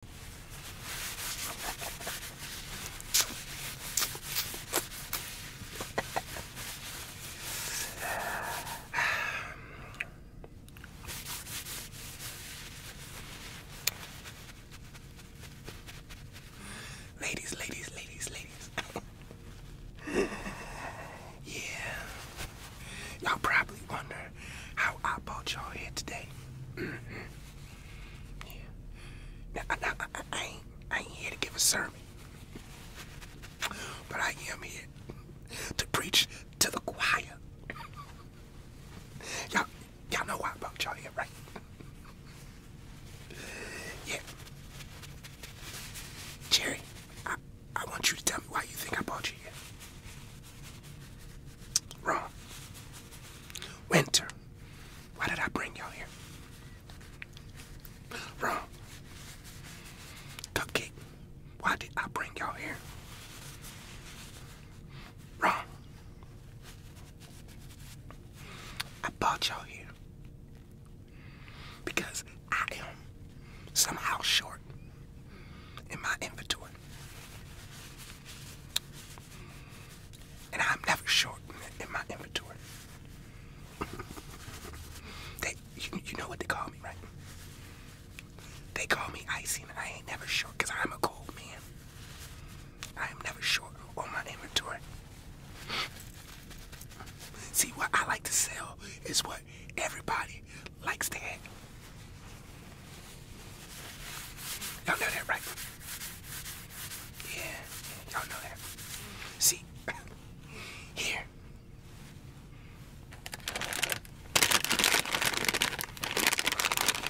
ladies, ladies, ladies, ladies. yeah. Y'all probably wonder how I brought y'all here today. Yeah. Now, I, ain't, here to give a sermon, but I am here to preach to the choir. y'all, y'all know why I brought y'all here, right? yeah. Jerry, I want you to tell me why you think I brought you here. Wrong. Winter. Why did I bring y'all here? Wrong. Cupcake. Why did I bring y'all here? Wrong. I brought y'all here because I am somehow short in my inventory. And I'm never short in my inventory. they, you, know what they call me, right? They call me Icy, and I ain't never short because I'm a cold man. I am never short on my inventory. See, what I like to sell is what everybody likes to have. Y'all know that, right? Yeah, y'all know that. See? Here.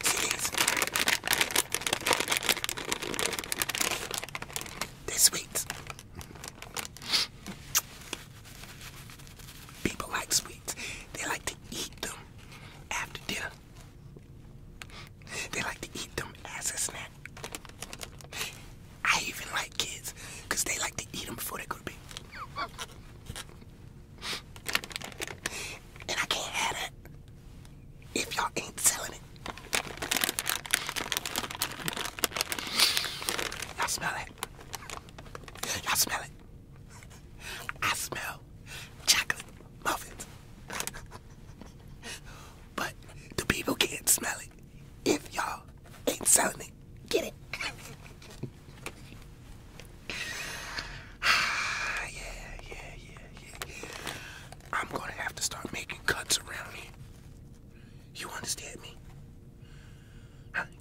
See these? They're sweets. People like sweets. They like to eat them after dinner. They like to eat them as a snack. I even like kids because they like to eat them before they go to bed. And I can't have that if y'all ain't selling it. Y'all smell it. Y'all smell it. I smell chocolate muffins. but the people can't smell it if y'all ain't selling it. Get it? yeah, yeah, yeah, yeah. I'm gonna have to start making cuts around here. You understand me?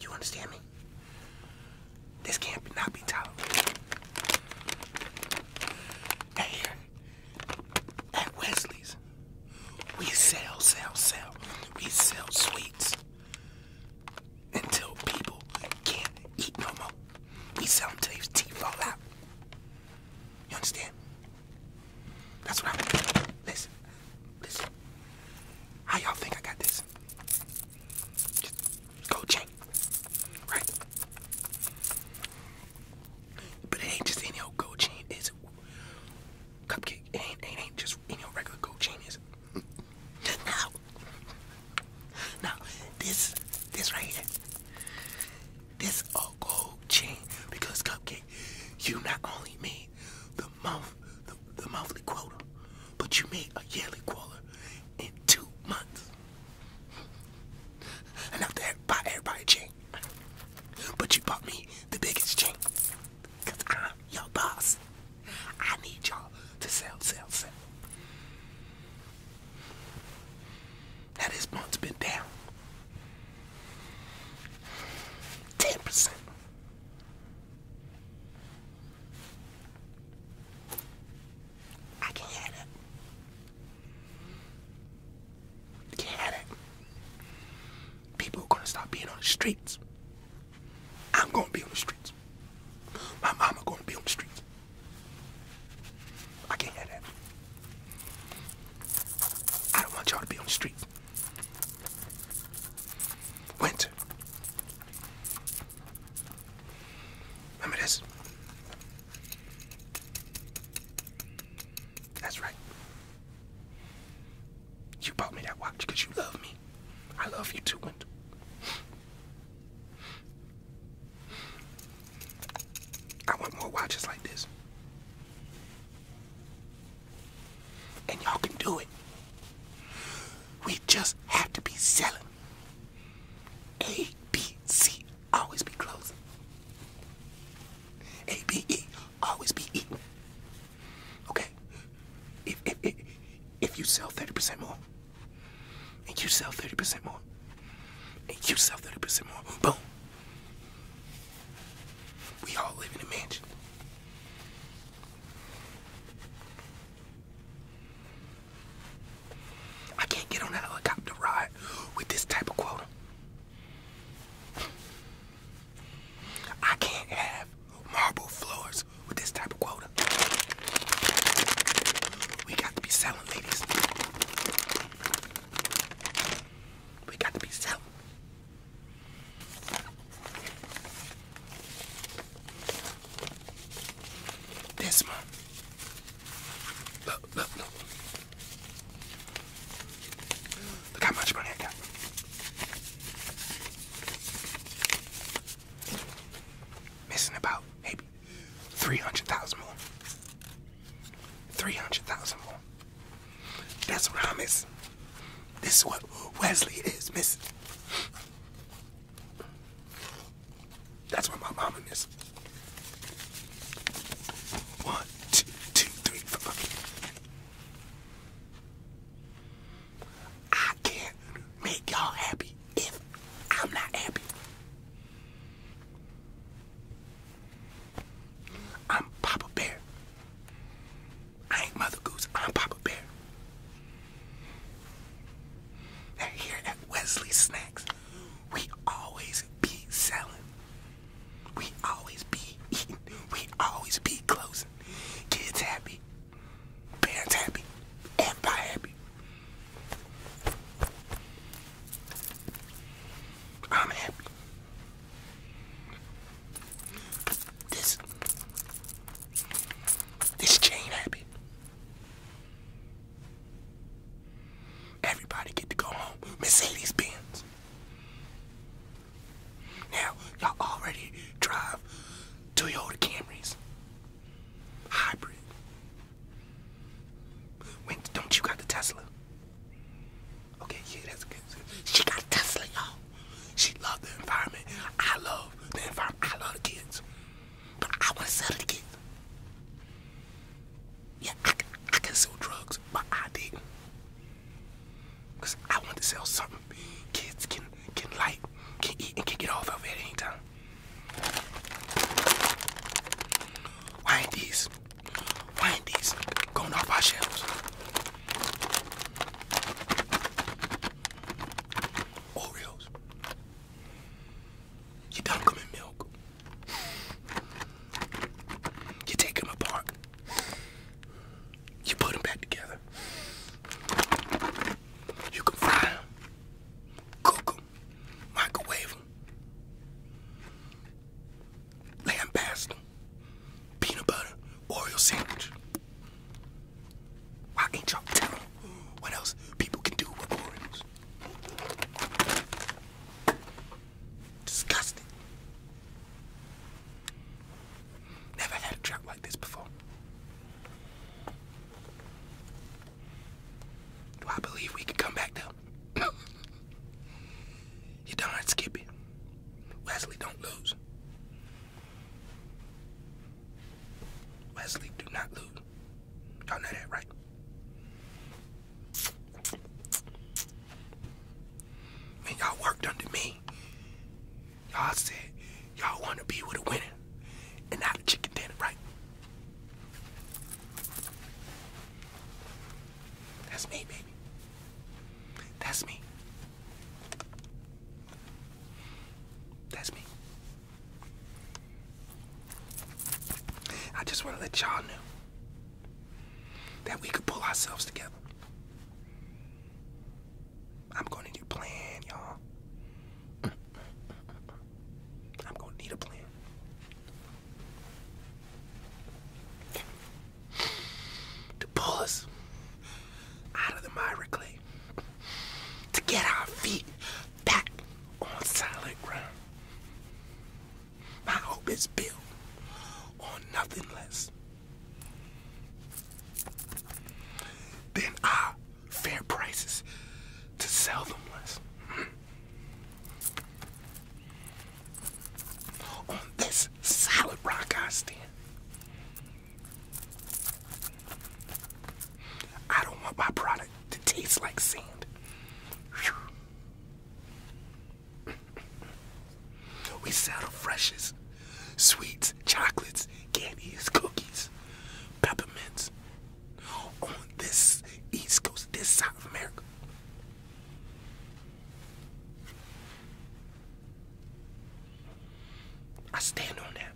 You understand me? This can't be, not be tolerated. Hey, at Wesley's, we sell, sell, sell. We sell sweets until people can't eat no more. We sell them till your teeth fall out. You understand? That's what I mean. Listen, listen. How y'all think I got this? Just go chink. Right? But it ain't just any old gold chain, is it? Cupcake. It ain't, it ain't just any old regular gold chain, is it? now, now, this, this right here, this old gold chain, because Cupcake, you not only made the month, the, the monthly quota, but you made a yearly quota in two months. Enough to buy everybody a chain. But you bought me the biggest chain. Cause I'm your boss. I need y'all to sell, sell, sell. Now this month been down. 10%. I can have it. Can't have it. People are gonna stop being on the streets. I'm gonna be on the streets. My mama gonna be on the streets. I can't have that. I don't want y'all to be on the street. Winter. Remember this? That's right. You bought me that watch you love me. I love you too, Wendell. I want more watches like this. And y'all can do it. We just have to be selling. A, B, C, always be close. A, B, E, always be E. Okay? If, if, if, you sell 30% more, and you sell 30% more, and you sell 30% more, boom. We all live in a mansion. I can't get on a helicopter ride with this type of quota. I can't have marble floors with this type of quota. We got to be selling, ladies. We got to be selling. This one. Look, look, look. how much money I Missing about maybe 300,000 more. 300,000 more. That's what I miss. This is what Wesley is missing. That's what my mama is. One, two, two, three, four. I can't make y'all happy if I'm not happy. I'm Papa Bear. I ain't Mother Goose, I'm Papa Bear. Now here at Wesley Snacks, we always be selling. We always be eating. We always be closing. Kids happy. Parents happy. Everybody happy. I'm happy. This this chain happy. Everybody get to go home. Mercedes Benz. Now, y'all already drive Toyota Camrys. Hybrid. don't you got the Tesla? Okay, yeah, that's good. She got a Tesla, y'all. She loved the environment. I love the environment. I love kids. But I want to sell it again. Yeah, I, I can sell drugs, but I didn't. Because I want to sell something kids can, can like, can eat, and can get off of it any time. Why these? Why these going off our shelves? Oreos. You dunk them in milk. You take them apart. You put them back together. You can fry them, cook them, microwave them, lambaste peanut butter, Oreo sandwich. Why ain't y'all telling what else people can do with Oreos? Disgusting. Never had a truck like this before. Do I believe we could come back though? you darn Skippy. Wesley, don't lose. Wesley, do not lose. Y'all know that, right? And y'all worked under me. Y'all said y'all want to be with a winner and not a chicken dinner, right? That's me, baby. That's me. That's me. I just want to let y'all know that we could pull ourselves together. I'm going to need a plan, y'all. I'm going to need a plan. To pull us out of the miry to get our feet back on solid ground. My hope is built on nothing less than our fair prices to sell them less. On this solid rock I stand. I don't want my product to taste like sand. We sell the freshest sweets, chocolates, candies, cookies, peppermints on this East Coast, this side of America. I stand on that.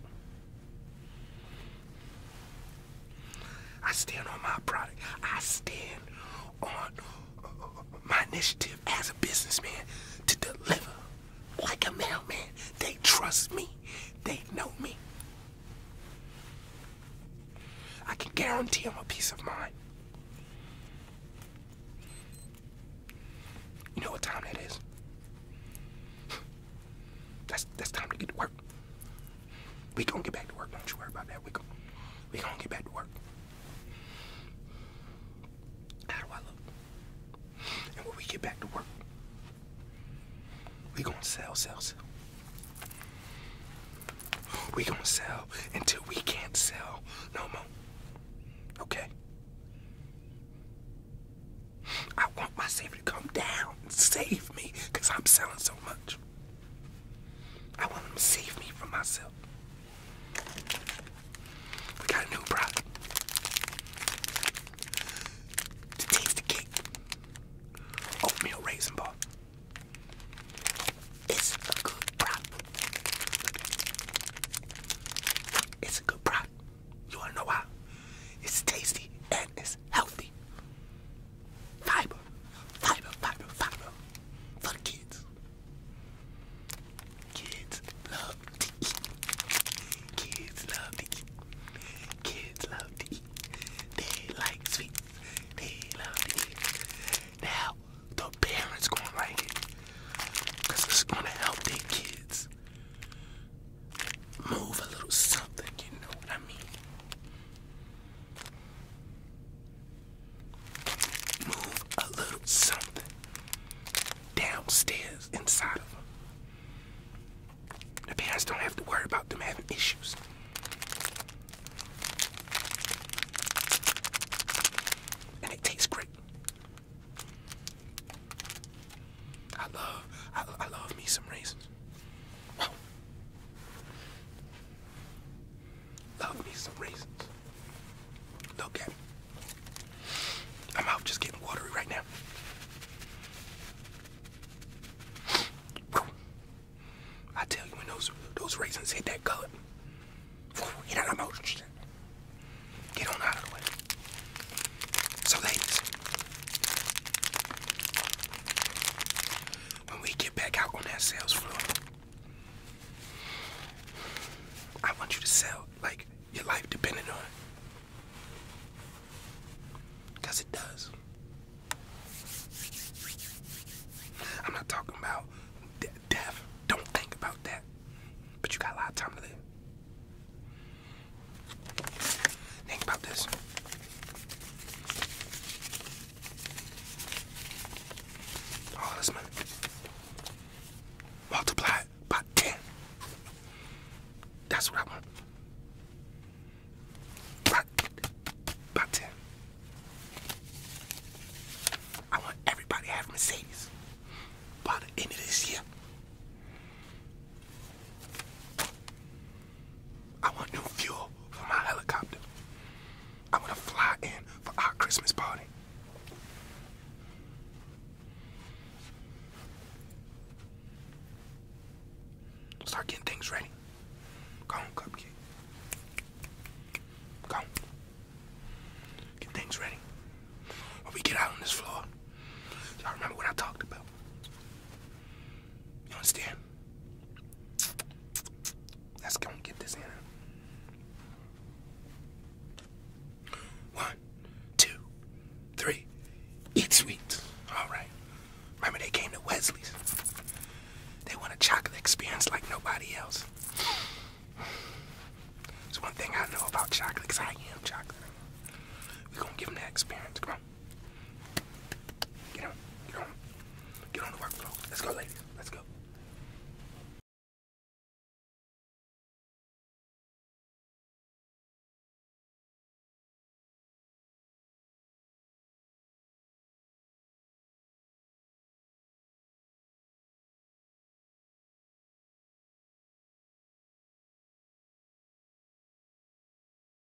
I stand on my product. I stand on uh, my initiative as a businessman to deliver like a mailman. They trust me. They know me. I can guarantee them a peace of mind. You know what time that is? That's that's time to get to work. We gonna get back to work. Don't you worry about that. We gonna we gonna get back to work. How do I look? And when we get back to work, we gonna sell, sell, sell. We gonna sell until we can't sell no more. Okay. I want my savior to come down save me because I'm selling so much. I want them to save me from myself. We got a new product. To taste the cake. Oatmeal raisin ball. It's a good product. It's a good product. You wanna know why? It's tasty and it's healthy. Fiber, fiber, fiber, fiber for kids. Kids love to eat. Kids love to eat. Kids love to eat. They like sweet. They love to eat. Now the parents gonna like it, cause it's gonna help their kids move a little something. You know what I mean? move a little something downstairs inside of them. The parents don't have to worry about them having issues. And it tastes great. I love, I, I love me some raisins. Love me some raisins. Look at me. My mouth just getting watery right now. I tell you when those those raisins hit that gut. you out of my Get on out of the way. So ladies, when we get back out on that sales floor, I want you to sell like your life depending on it. does. I'm not talking about death. Don't think about that. But you got a lot of time to live. Think about this. All this money multiplied by 10. That's what I want. By, by 10. I want everybody to have by the end of this year. I want new fuel for my helicopter. I want to fly in for our Christmas party. Start getting things ready. Go Cupcake. Go Get things ready. we get out on this floor, y'all remember what I talked about understand? Let's go and get this in. One, two, three. Eat sweets. All right. Remember they came to Wesley's. They want a chocolate experience like nobody else. It's one thing I know about chocolate, because I am chocolate. We're going to give them that experience. Come Get on, get on, get on the workflow. Let's go, ladies. Let's go.